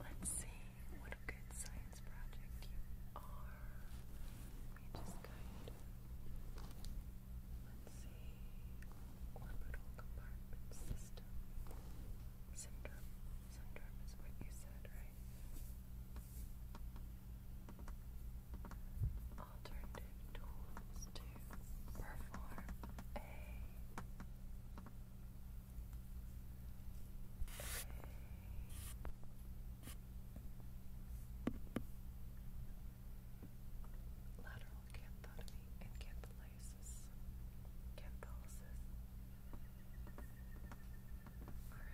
Let's see what a good science project you are. We just kind of, let's see, orbital compartment system. Syndrome. Syndrome is what you said, right? Alternative tools to perform a Lateral canthotomy and cantholysis. Cantholysis. Alright.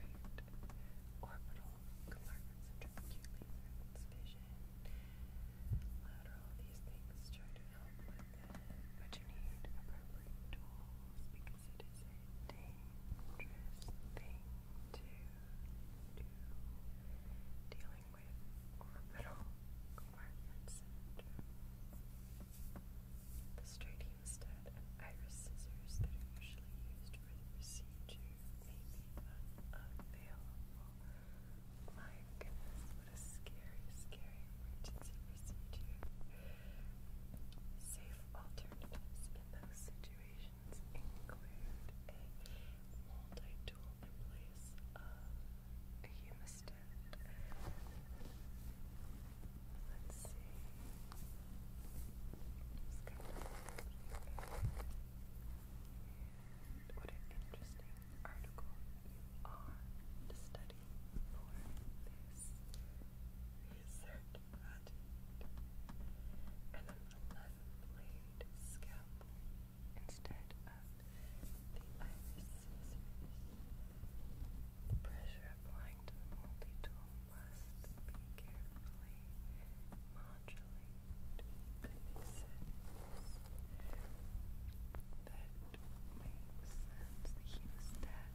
Orbital compartments and vision. Lateral, these things try to help but you need appropriate tools because it is a dangerous thing to do. Dealing with orbital compartment syndrome. The straight hemostat and iris scissors that are usually used for the procedure may be unavailable. My goodness, what a scary, scary military emergency Safe alternatives in those situations include a multi-tool in place of a humostat. Let's see. what an interesting article on the study for this blade scalpel instead of the iris The pressure applying to the multi-tool must be carefully modulated to mix that makes sense. He was dead.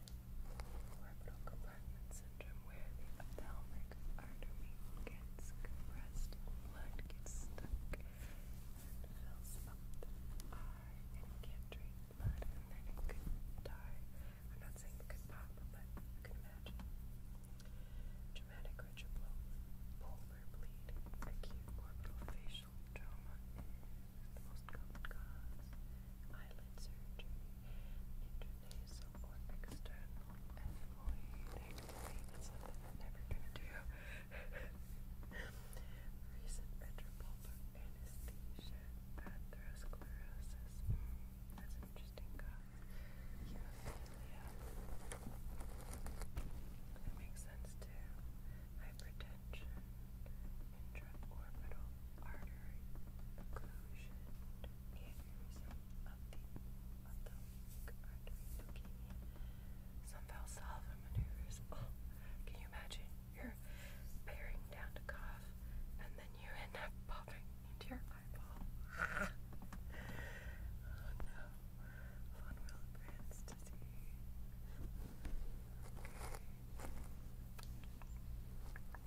Orbital compartment syndrome where the ophthalmic artery gets compressed blood gets stuck and fills up the eye and can't drain blood and then it could die. I'm not saying it could pop, but you can imagine. Traumatic retropolar bleed, acute orbital facial trauma the most common cause. Eyelid surgery, intranasal or That's something I'm never gonna do. Recent retropulpal anesthesia, atherosclerosis. that's interesting cause. That makes sense too. Hypertension, intraorbital artery areas maneuvers. can you imagine? You're bearing down to cough, and then you end up popping into your eyeball. oh no them to seem so very scary.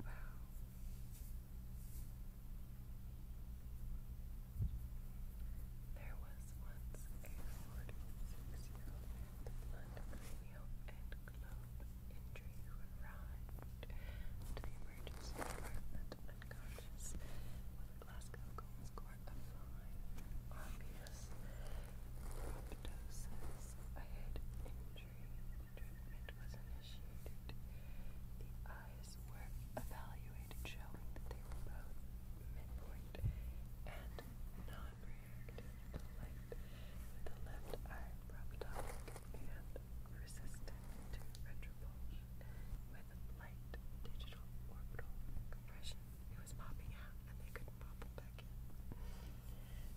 wow. There was once a 46-year-old with blunt cranial and globe injury who arrived to the emergency department unconscious with Glasgow goal score of five obvious proptosis, period was initiated, the eyes were evaluated, showing that they were both midpoint and non-reactive the left eye proptotic and resistant to retropulsion, with light digital orbital compression. It was popping out and they couldn't pop it back in.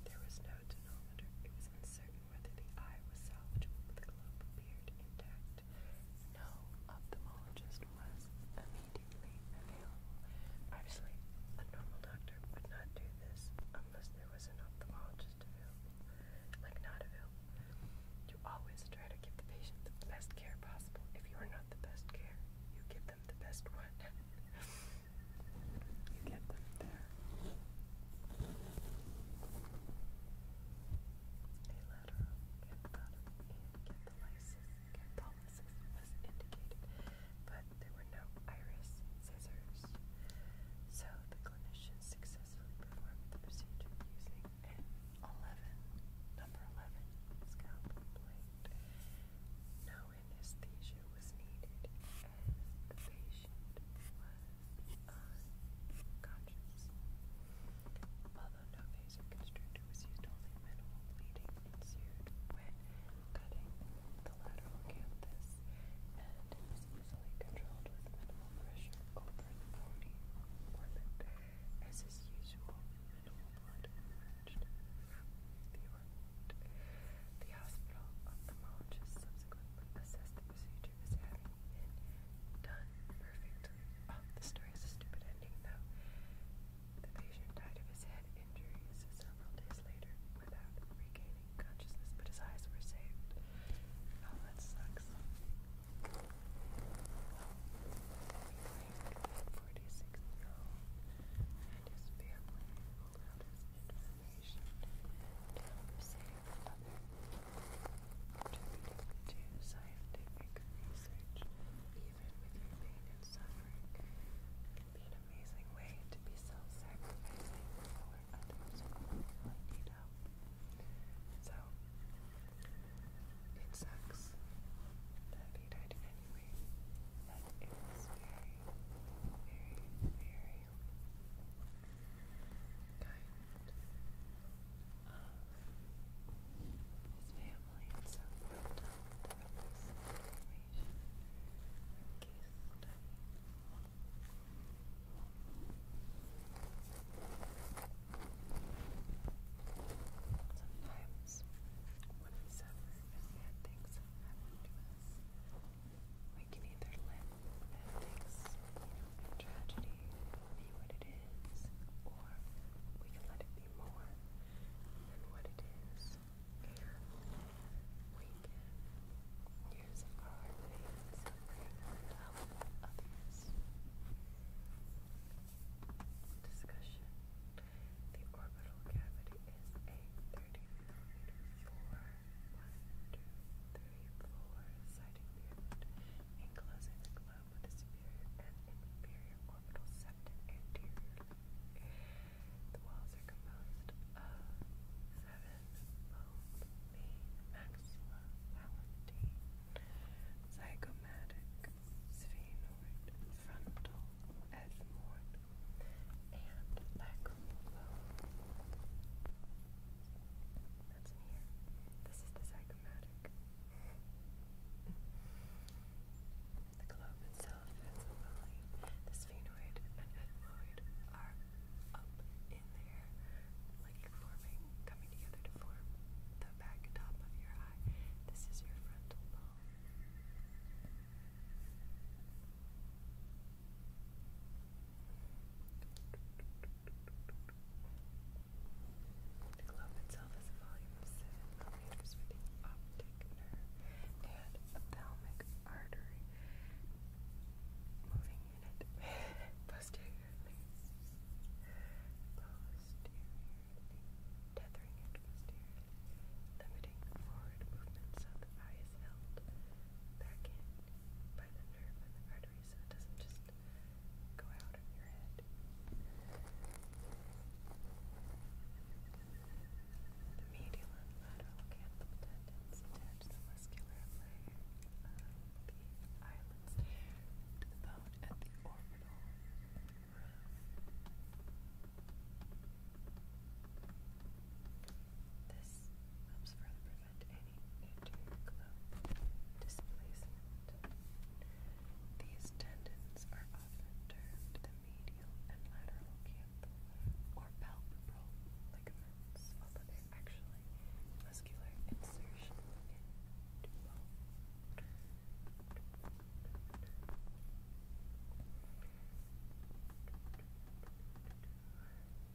There was no denominator. It was uncertain whether the eye was salvageable the globe appeared intact. No ophthalmologist was immediately available. Obviously, a normal doctor would not do this unless there was an ophthalmologist available. Like, not available. You always try to give the patient the best care possible. If you are not the best care, you give them the best one. You get them there. A lateral canthal canthalisis, canthalisis was indicated, but there were no iris scissors. So the clinician successfully performed the procedure using an 11, number 11 scalpel blade. No anesthesia was needed the patient was unconscious. Although no vasoconstrictor was used, only minimal bleeding ensued when cutting the lateral canthus, and it was easily controlled with minimal pressure over the body As is usual, minimal blood emerged the orbit. The hospital ophthalmologist subsequently assessed the procedure as having been done perfectly. Oh, the story has a stupid ending, though. The patient died of his head injuries several days later without regaining consciousness, but his eyes were saved. Oh, that sucks. Forty-six-year-old and his family hold out his information contributing to scientific research, even with your pain and suffering, can be an amazing way to be self-sacrificing for others who really need help. So, it sucks that he died anyway, but it was very, very, very kind of his family and so forth information Sometimes when we bad things happen to us, we can either let politics and tragedy be what it is, or we can let it be more than what it is, and we can use our things to help others. Discussion. The orbital cavity is a four citing Beerwood, enclosing the globe with a superior and inferior orbital septum anteriorly. The walls are composed of seven bones, maxilla, palatine, zygomatic, sphenoid, frontal, ethmoid, and lacrimal that's an This is the zygomatic. the globe itself is a The sphenoid and ethmoid are up in there, like forming, coming together to form the back top of your eye. This is your frontal lobe. The globe itself has a volume of 7 millimeters with the optic nerve and ophthalmic artery moving in it posteriorly. Posteriorly. Tethering it posteriorly. Limiting forward movement so the eye is held back in by the medial and lateral canthal tendons attach the muscular layer of the eyelids to the bone at the orbital rim. This helps further prevent any These tendons are often termed the medial and lateral canthal or palpebral ligaments, although they're actually muscular insertion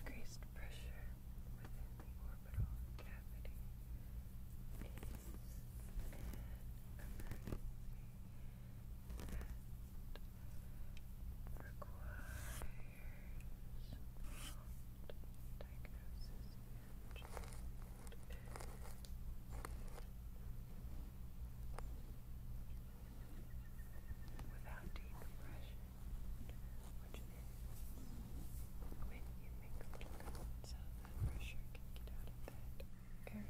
Increased pressure within the orbital cavity is an emergency diagnosis and treatment without decompression, which means when you make little cuts of that pressure can get out of that area.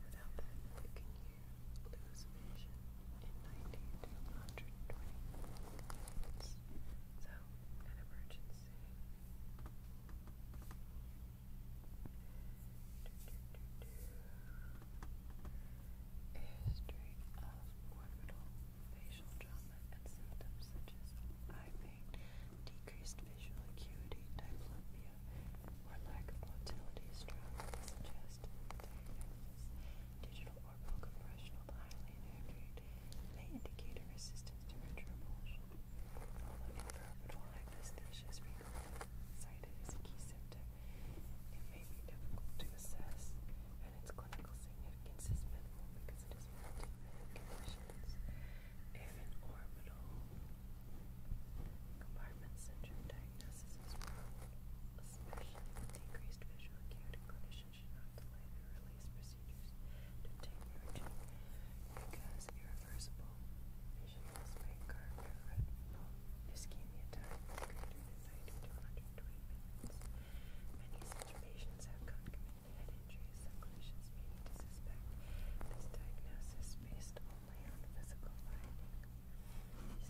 Without that, you can lose vision in 90 minutes. So, an emergency history of orbital facial trauma and symptoms such as eye pain, decreased visual acuity, diplopia, or lack of motility strongly suggest diagnosis. Digital orbital compression of highly inaccurate may indicate a resistance to retropulsion. Although imperipheral hyperkinesia is frequently cited as a key symptom, it may be difficult to assess, and its clinical significance is minimal because it is relative to many conditions. If orbital compartment syndrome diagnosis is probable, especially with decreased visual acuity, clinicians should not delay the release procedures to obtain urgent because irreversible patient lost Many such patients have concomitant head injuries that clinicians to suspect this diagnosis based only on physical findings. These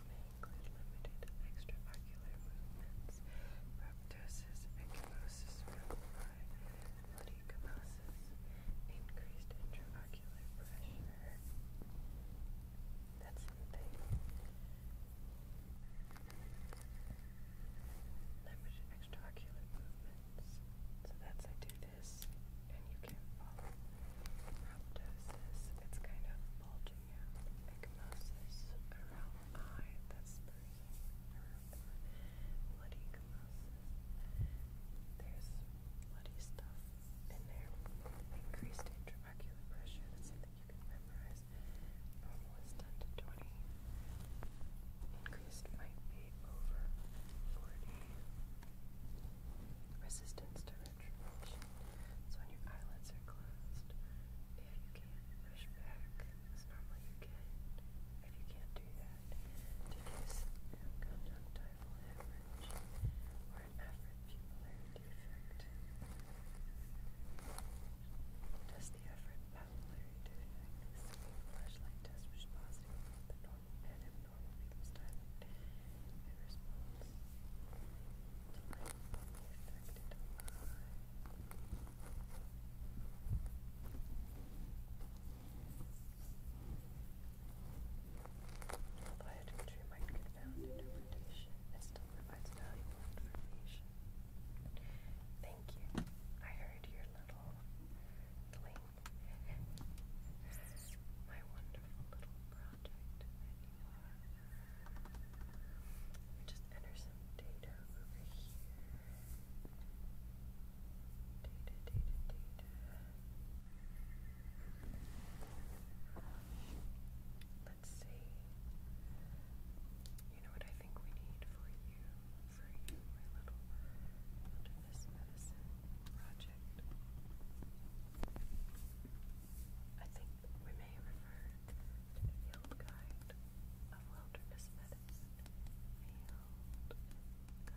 may include limited extraocular movements, proptosis, ecchymosis around the increased intraocular pressure, that's something. Language movements. So that's I do this, and you can follow rhabdosis. It's kind of bulging out. around eye. That's bruising. Bloody ecchymosis. There's bloody stuff in Increased intraocular pressure, that's something you can memorize. Normal is 10 to 20. Increased might be over 40. Resistance to retrogression. So when your eyelids are closed, if you can push back, as normally you can, if you can't do that, deduce conjunctivitis verbal average Does the average polarity effect the flashlight test which the normal and abnormal people's dialect in response? Although idolatry might confound interpretation, it still provides valuable information. Thank you. I heard your little bling. My wonderful little project just enter some data over here. Data, data, data. Let's see. You know what I think we need for you, for you, my little wilderness medicine project. I think we may refer to the field guide of wilderness medicine.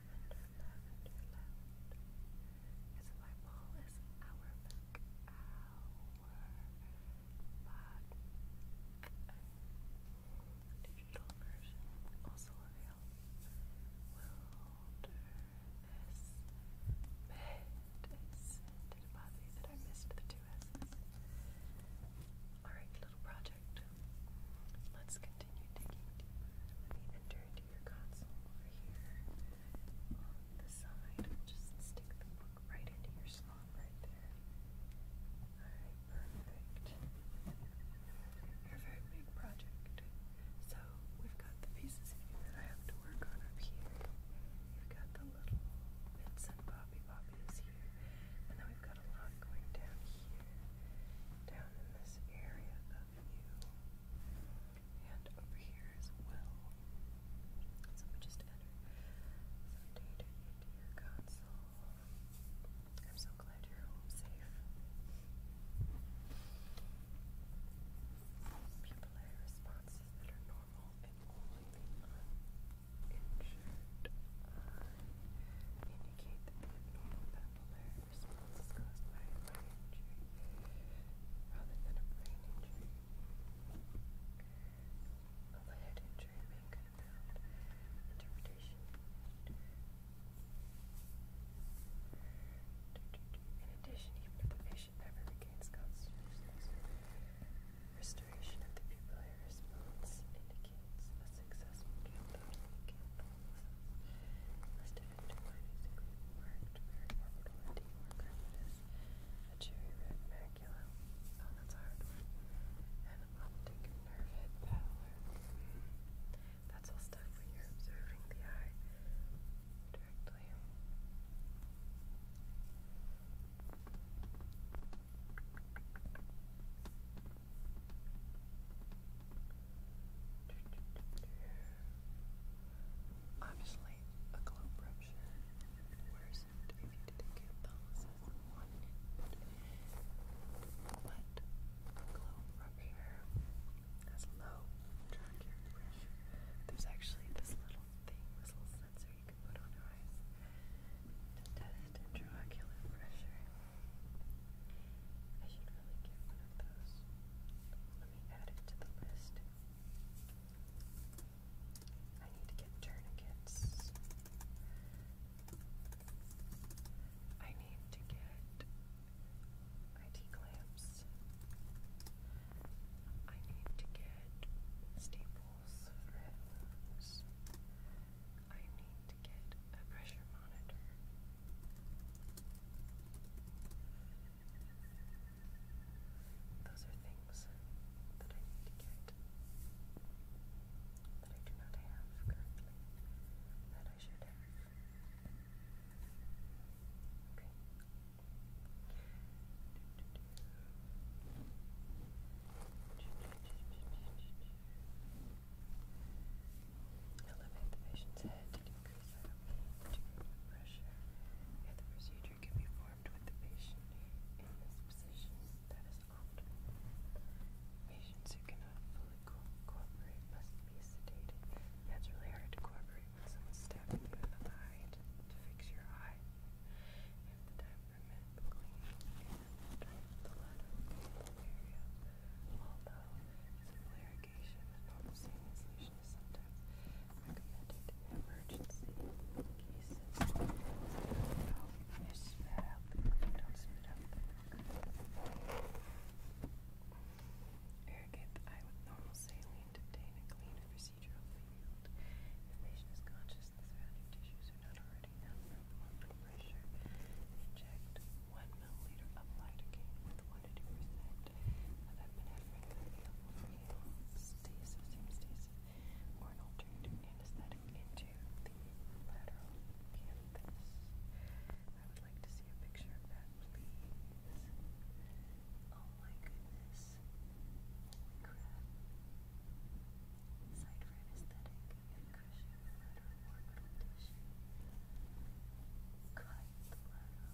lavender, my ball is our book, our pod. Digital version also available. Wilderness medicine. Did it bother you that I missed the two S's? Alright, little project. Let's continue digging deeper. Let me enter to your console over here the side. just stick the book right into your slot right there. perfect. you very big project. So we've got the pieces that I have to work on up here. We've got the little bits and bobby bobbies here. And then we've got a lot going down here. Down in this area you. And over here as well. So we just enter some data into your console. I'm so glad you're home safe. Pupillary responses that are normal and only the uninjured indicate that the abnormal response caused by brain injury rather than a brain injury. Of head injury being confound interpretation. In addition, even if the patient never regains consciousness, restoration of the pupillary response indicates a successful camp. Listed a cherry red macula, that's hard and optic nerve head That's all stuff when you're observing the eye directly. Obviously, a globe brush wears it if you did get those But globe rupture has low tracheal pressure. There's actually this little thing, this little sensor you can put on your eyes to test intraocular pressure. I should really get one of those. Let me add it to the list. I need to get tourniquets. I need to get IT clamps. I need to get staples I need to get a pressure monitor. Those are things that I need to get that I do not have currently that I should have. Okay. Elevate the patient's head decrease our pain to remove pressure. If the procedure can be formed with the patient in this position, that is optimal. Patients who cannot fully cooperate must be sedated. Yeah, it's really hard to cooperate when someone's stabbing you in the eye to, to fix your eye. If the time permit, clean and drain the blood of the area. Although simple irrigation is not the same as lesion is sometimes recommended in emergency cases. So, you know, you spit don't spit up Irrigate the eye with normal saline to obtain a clean procedural field. If the patient is conscious, surrounding tissues are not already down from blood pressure. Inject one milliliter of lidocaine with one to two percent of epinephrine available for hemostasis, hemostasis, or an alternative anesthetic into the lateral canthus. I would like to see a picture of that, please. Oh my goodness. Side for anesthetic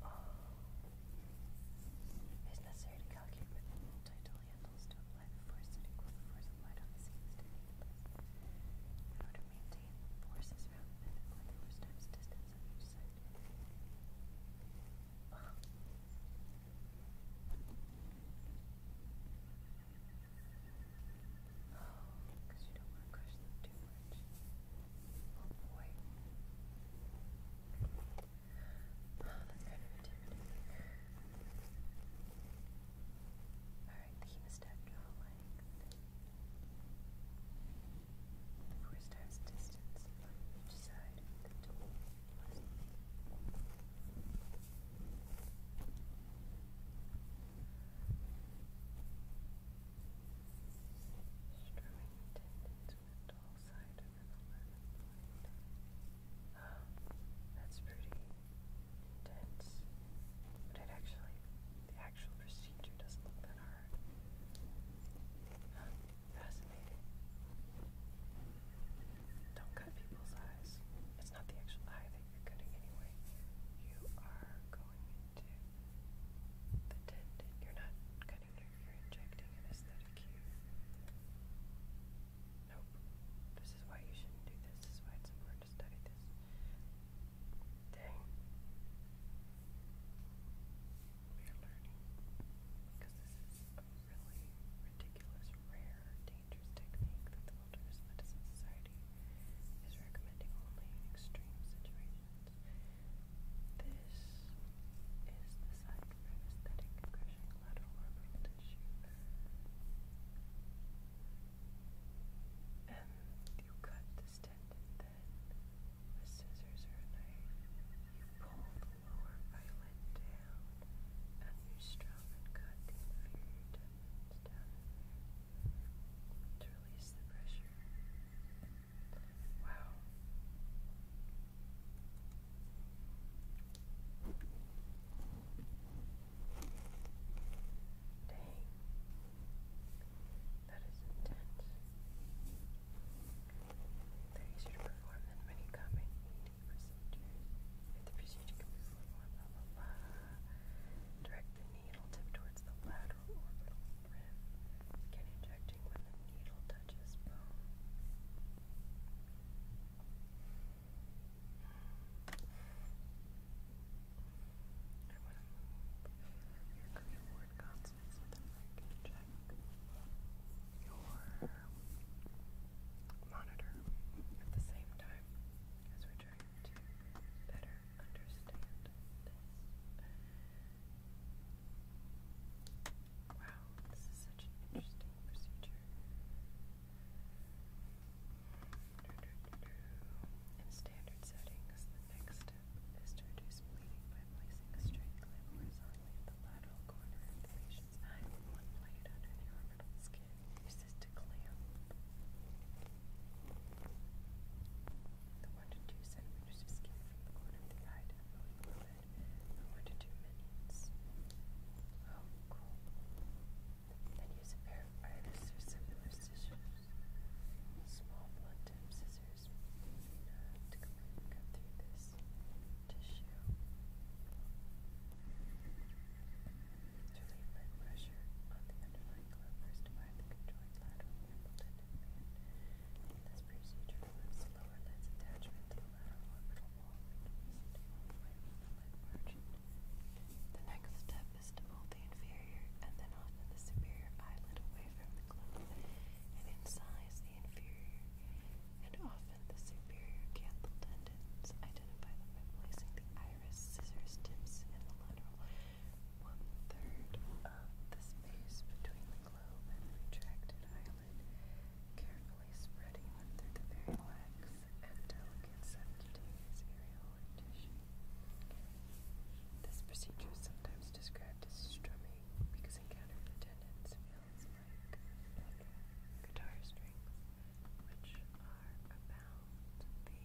Um, it is necessary to calculate the multi handles to apply the force that equals the force applied the seams to to maintain forces around the pivot point, the force times distance Oh, because um, you don't want to crush them too much. Oh boy. Oh, that's Alright, the step to a length. Four times distance on each side of the tool. Strumming tendons side that's pretty intense. But it actually, the actual procedure doesn't look that hard. fascinating. Don't cut people's eyes. It's not the actual eye that you're cutting anyway. You are going into the tendon. You're not cutting Therapeutic for injecting an Nope. This is why you shouldn't do this. This is why it's important to study this. Dang. We're learning. Because this is a really ridiculous, rare, dangerous technique that the Wilderness Medicine Society is recommending only in extreme situations. This is the side for anesthetic crushing lateral orbital tissue. And you cut this tendon then with scissors or knife. You pull the lower eyelid down and you strum and cut the inferior tendons to release the pressure. Wow. Dang. That is intense. They're easier to perform than many common eating procedures. the procedure can be performed, blah blah blah. Direct the needle tip towards the lateral orbital rim. Skin injecting when the needle touches bone. I want to move your creative consonants so that I can check your monitor at the same time as we're trying to better understand this. Wow, this is such an interesting procedure. In standard settings, the next step is to reduce bleeding by placing a straight clip horizontally at the lateral corner of the patient's eye one blade under the orbital skin. Use to clamp the 1 to 2 centimeters of skin from the corner of the eye it. two minutes. Oh, cool. Then use a pair of iris scissors. Small blunt tip scissors to cut through this tissue. Relieve my pressure on the underlying first by the lateral and band. This procedure removes the lower lid's attachment to the lateral orbital wall, making it away from the lid margin. The next step is to move the inferior and then often the superior eyelid away from the globe and incise the inferior and often the superior canthal tendons. Identify them by placing the iris scissors tips in the lateral one third of the space between the globe and retracted eyelid salad, carefully spreading them through very lax and delicate subcutaneous areolar tissue. This procedure is sometimes described as strumming because encountered attendance feels like guitar strings, which are about the same width.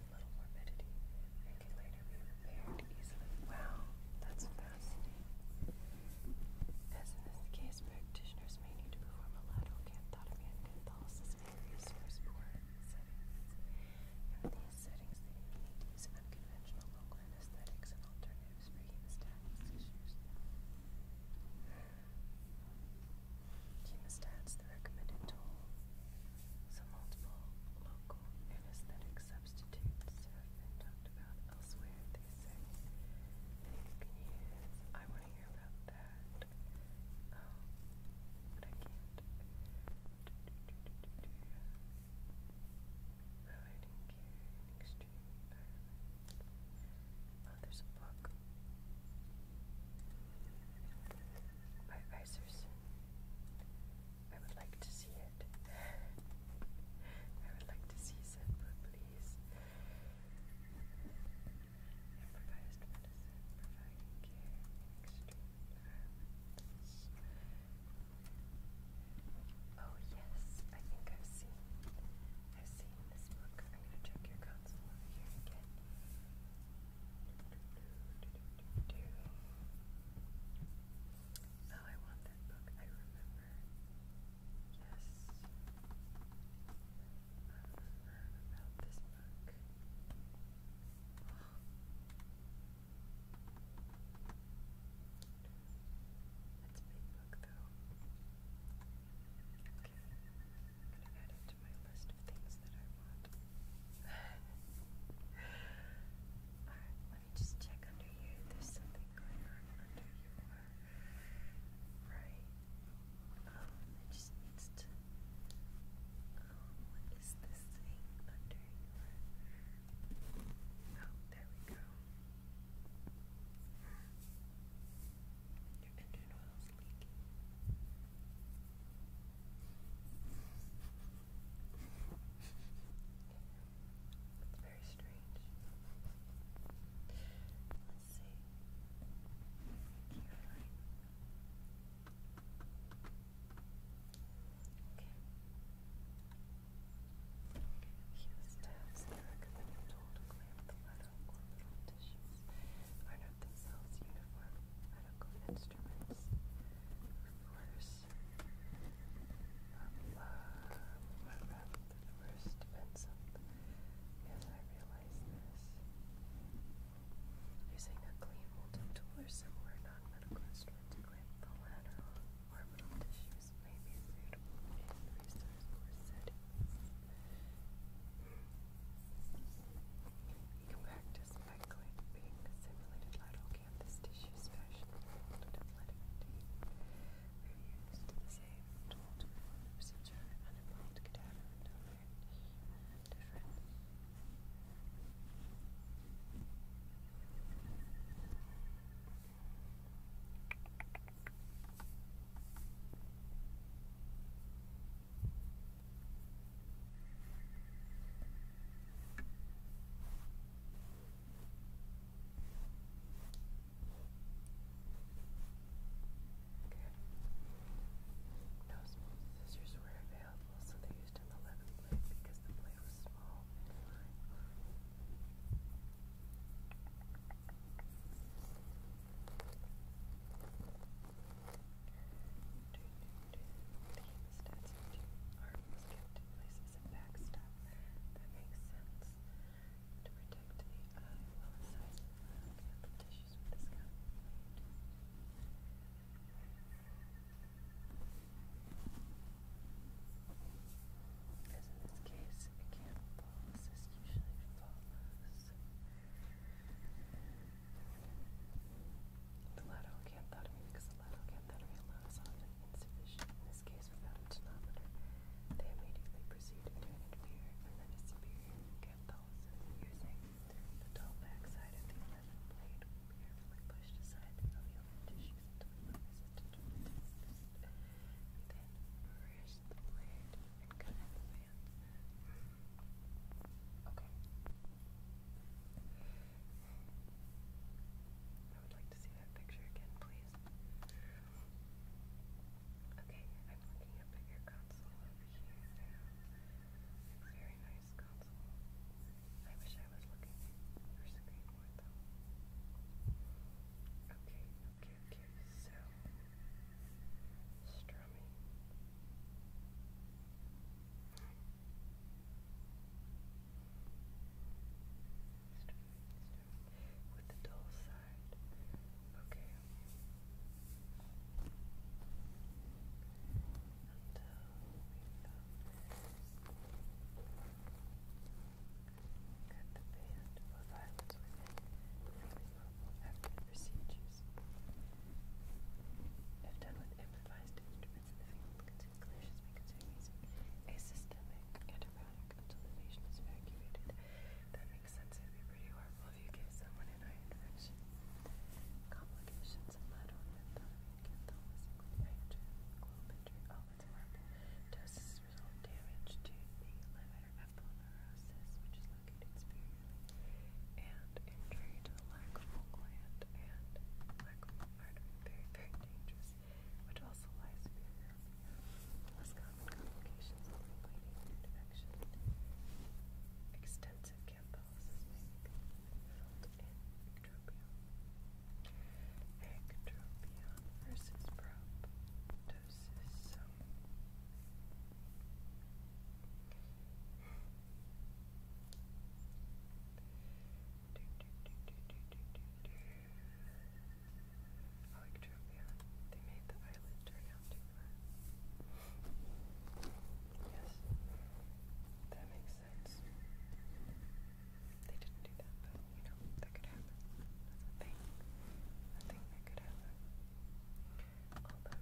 a little morbidity and can later be repaired easily. Wow, that's fascinating. As in this case, practitioners may need to perform a lateral canthotomy and Catholicism in various firstborn settings. In these settings, they need to use unconventional local anesthetics and alternatives for hemostatic issues. Hemostats, the recommended tool so multiple local anesthetic substitutes have been talked about elsewhere. They say that you can use. I want to hear about that. Um, but I can't. Providing care in extreme environments. Oh, there's a book by Iser I would like to see it. I would like to see Senpu, please. Improvised medicine, providing care extreme environments. Oh yes, I think I've seen, I've seen this book. I'm gonna check your console here again. Oh, I want that book. I remember. Yes. I remember about this book. That's a big book, though. Okay. I'm going to add it to my list things let me just check under you. There's something under your right. Um, it just needs to. Um, what is this thing under your? Oh, there we go. Your engine oil's leaking. It's very strange. Let's see. Carefully. Okay. Use tabs and recommend a tool to clamp the leather or little tissues. Are not uniform, medical and instruments, of course. Um, uh, the worst pencil, yes, I realize this. Using a clean wooden tool or similar non-medical instrument to clamp the lateral orbital tissues may be suitable in resource poor settings. Hmm. You go just by simulated lateral canthus tissues fashioned from folded athletic tape. We've used the same tool to perform the procedure on involved cadaver and different. No small scissors were available, so they used an 11 because the blade was small stats feature. Arm was kept in place as That makes sense. To protect the eye while the of the tissues with the scalp. As in this case, it can't fall as usually follows. The lateral canthotome, because the lateral canthotome alone is often insufficient, in this case without a denominator, they immediately proceed to an inferior and then a superior cantholysis using the dull backside of the 11th blade will carefully pushed aside the alveolar tissues until the resistant resistance. We then reverse the blade and cut out the fans. Okay. I would like to see that picture again, please. Okay, I'm looking at your console over here very nice console. I wish I was looking at your screen Okay, okay, okay, so strumming. Start, start with the dull side. Okay. Until we got the band of violence within after procedures. If done with improvised instruments, Movements a systemic antibiotic until the patient is evacuated. That makes sense. It if you give someone an eye infection. Complications of lateral lymphatic symptoms include hydrogen, globinter, oh, result damage to the liver, aponeurosis, which is located superiorly, and injury to the lacrimal gland and lacrimal artery, very, very dangerous, which also lies near less common complications including infection. Extensive campolysis may be versus proptosis. Electropia. They made the eyelid turn out too far. Yes. That makes sense. They didn't do that, but you know, that could happen. That's a that could happen. Uh,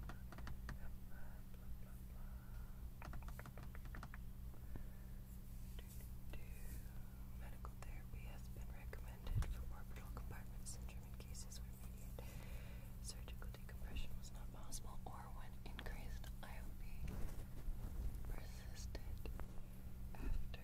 Medical therapy has been recommended for orbital compartment syndrome in cases where immediate surgical decompression was not possible or when increased IOP persisted after.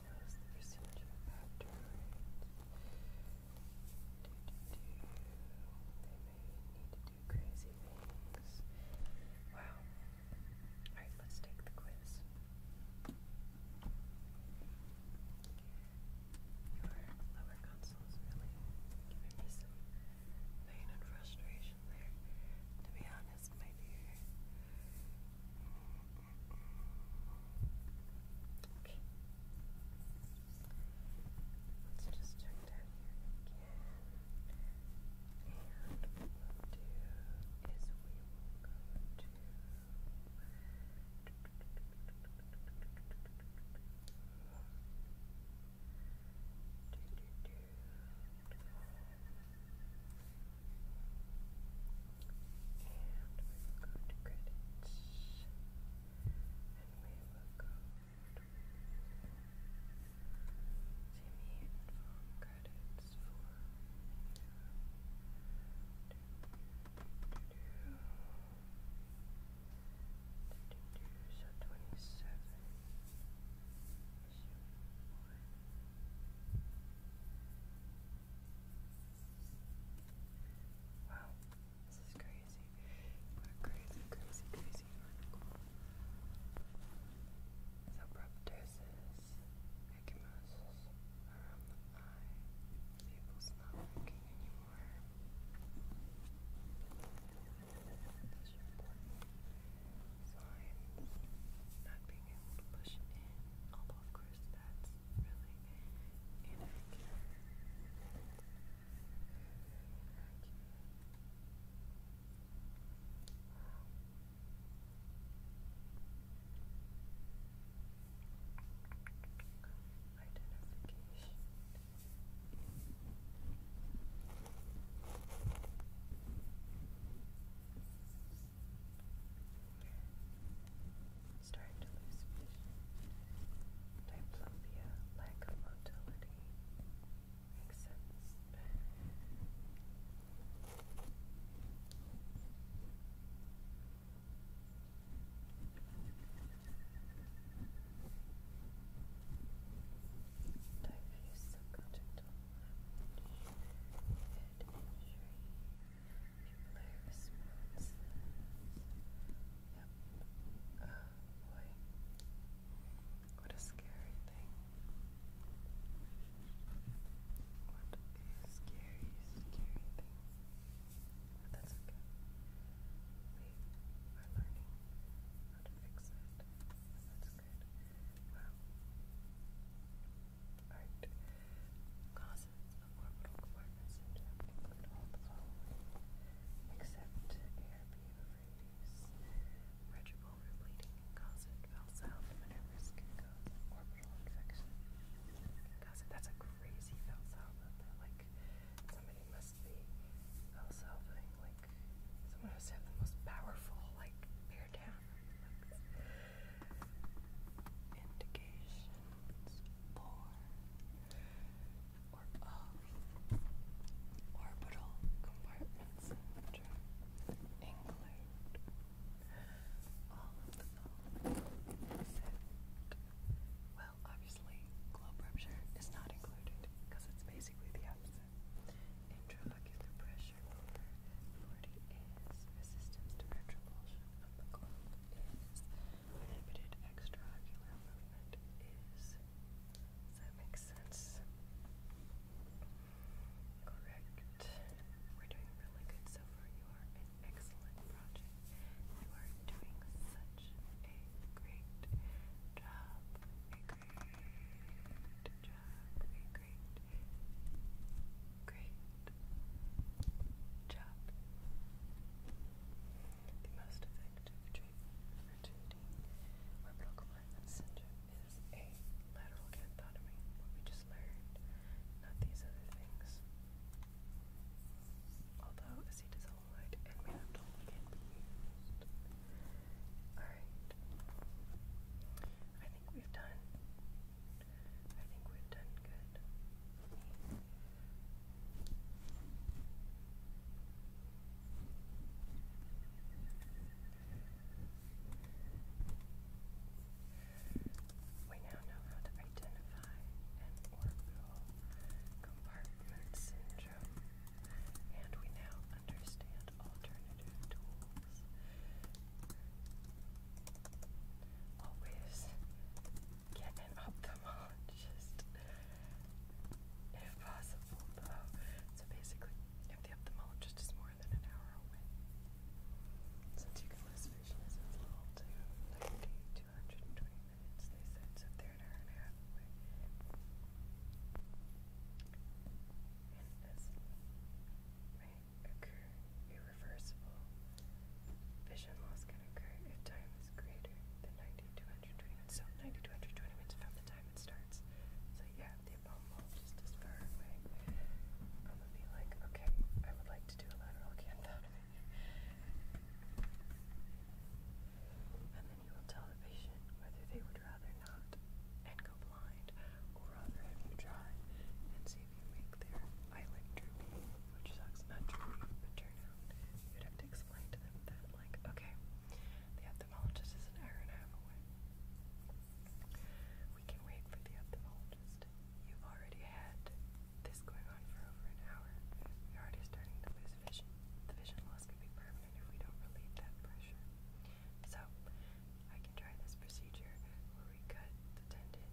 close the Wow. Alright, let's take the quiz. Your lower console really giving me some pain and frustration there. To be honest, my Okay. Let's just check down again. And what we'll do is we will go to do, will go to credits. And we will go to Jimmy and Fong credits for. So twenty seven Wow, this is crazy. What crazy, crazy, crazy article. The proptosis, ecchymosis around the eye. People's not working anymore. Those are important signs. Not being able to push in, although of course that's really inaccurate. Identification. Identification starting to lose vision, diplopia, lack of motility. Makes Diffuse subconjunctal hemorrhage, Nuclear response. Yep. Oh boy. What a scary thing. What a scary, scary thing. that's okay. We are learning how to fix it. That's good. Wow. Alright. Causes hormonal compartment syndrome include all the following, concert bowel sound maneuvers can cause orbital infection. that's a crazy Valsalva. they like, somebody must be Valsalvaing, like, someone has have the most powerful, like, bear down. Indication for or orbital compartments include all of the following well, obviously, globe rupture is not included because it's basically the opposite. Intraocular pressure 40 is resistance to retropulsion of the globe is inhibited extraocular movement is. Does that make sense? Correct. We're doing really good so far. You are an excellent project. You are doing such a great job. A great job. A great, great Chop. The most effective treatment for 2D where is a lateral cathotomy, what we just learned, not these other things. Although acetazolamide and mannitol can be used. Alright. I think we've done I think we've done good. We now know how to identify an orbital compartment syndrome, and we now understand alternative tools. Always get an ophthalmologist if possible, though. So basically, the ophthalmologist is more than an hour away, since you can lose vision as it's little to 90 to minutes, they said, so if they hour and a half away reversible. Vision loss can occur if time is greater than 90 to 120 minutes. So 90 to 120 minutes from the time it starts. So yeah, the ophthalmologist is far away. I'm gonna be like, okay, I would like to do a lateral canthotomy. And then you will tell the patient whether they would rather not and go blind or rather have you try and see if you make their eyelid droopy which sucks not You'd have to explain to them that, like, okay, the ophthalmologist is an hour and a half away. We can wait for the ophthalmologist. You've already had this going on for over an hour. You're already starting to lose vision. The vision loss could be permanent if we don't relieve that pressure. So, I can try this procedure where we cut the tendon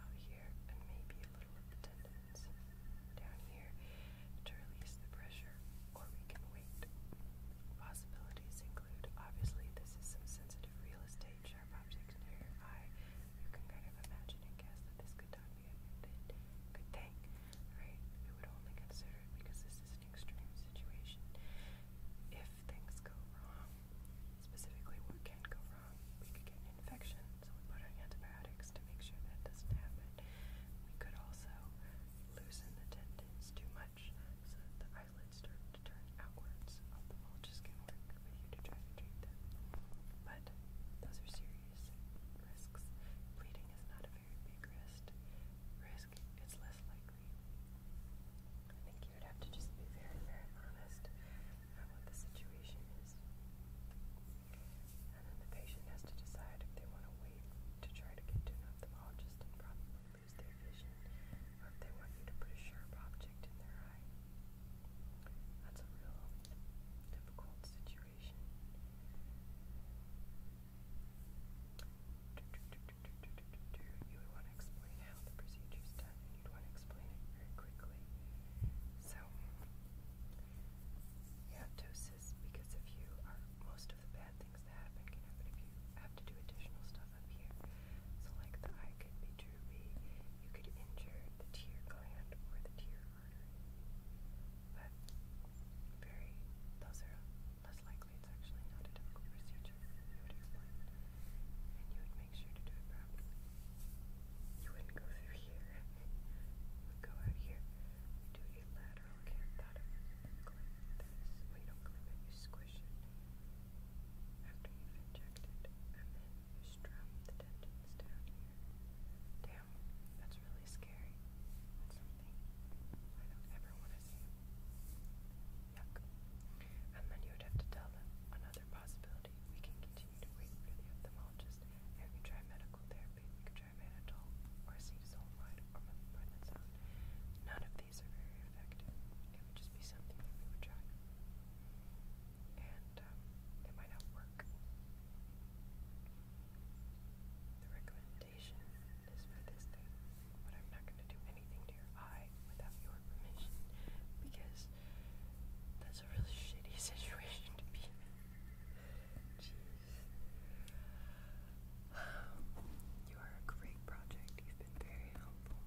out here and maybe a down here to release the pressure, or we can wait. Possibilities include obviously, this is some sensitive real estate, sharp objects near eye. You can kind of imagine and guess that this could not be a good thing, right? We would only consider it because this is an extreme situation. If things go wrong, specifically what can go wrong, we could get an infection so we put on antibiotics to make sure that doesn't happen. We could also loosen the tendons too much so that the eyelids start to turn outwards. Ophthalmologists can work with you to try to treat them. But those are serious risks. Bleeding is not a very big risk. Risk is less likely. I think you would have to just be very, very honest about what the situation is. And then the patient has to decide if they want to wait to try to get to an ophthalmologist and probably lose their vision, or if they want you to put a sharp object in their eye. That's a real difficult situation. You would want to explain how the procedure's done, and you'd want to explain it very quickly. So, you have ptosis because if you are, most of the bad things that happen can happen if you have to do additional stuff up here. So like the eye could be droopy, you could injure the tear gland or the tear artery. But very, those are less likely. It's actually not a difficult procedure. You would explain it, and you would make sure to do it properly. You wouldn't go through here. You would go out here. You do a lateral canthata. Clip this. Well, don't clip it, you squish it. After you've injected, and then you strum the tendons down here. Damn, that's really scary. That's something I don't ever want to see. Yuck. And then you would have to tell them another possibility. We can get you to wait for the ophthalmologist. You can try medical therapy, you can try mannitol, or acetyl-sulfide, or methylprednisone. None of these are very effective. It would just be something that we would try. And it might not work. The recommendation is for this but I'm not going to do anything to your eye without your permission because that's a really shitty situation to be in. you are a great project. You've been very helpful.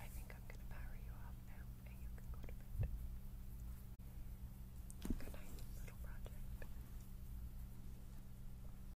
I think I'm gonna power you off now and you can go to bed. Good night, little project.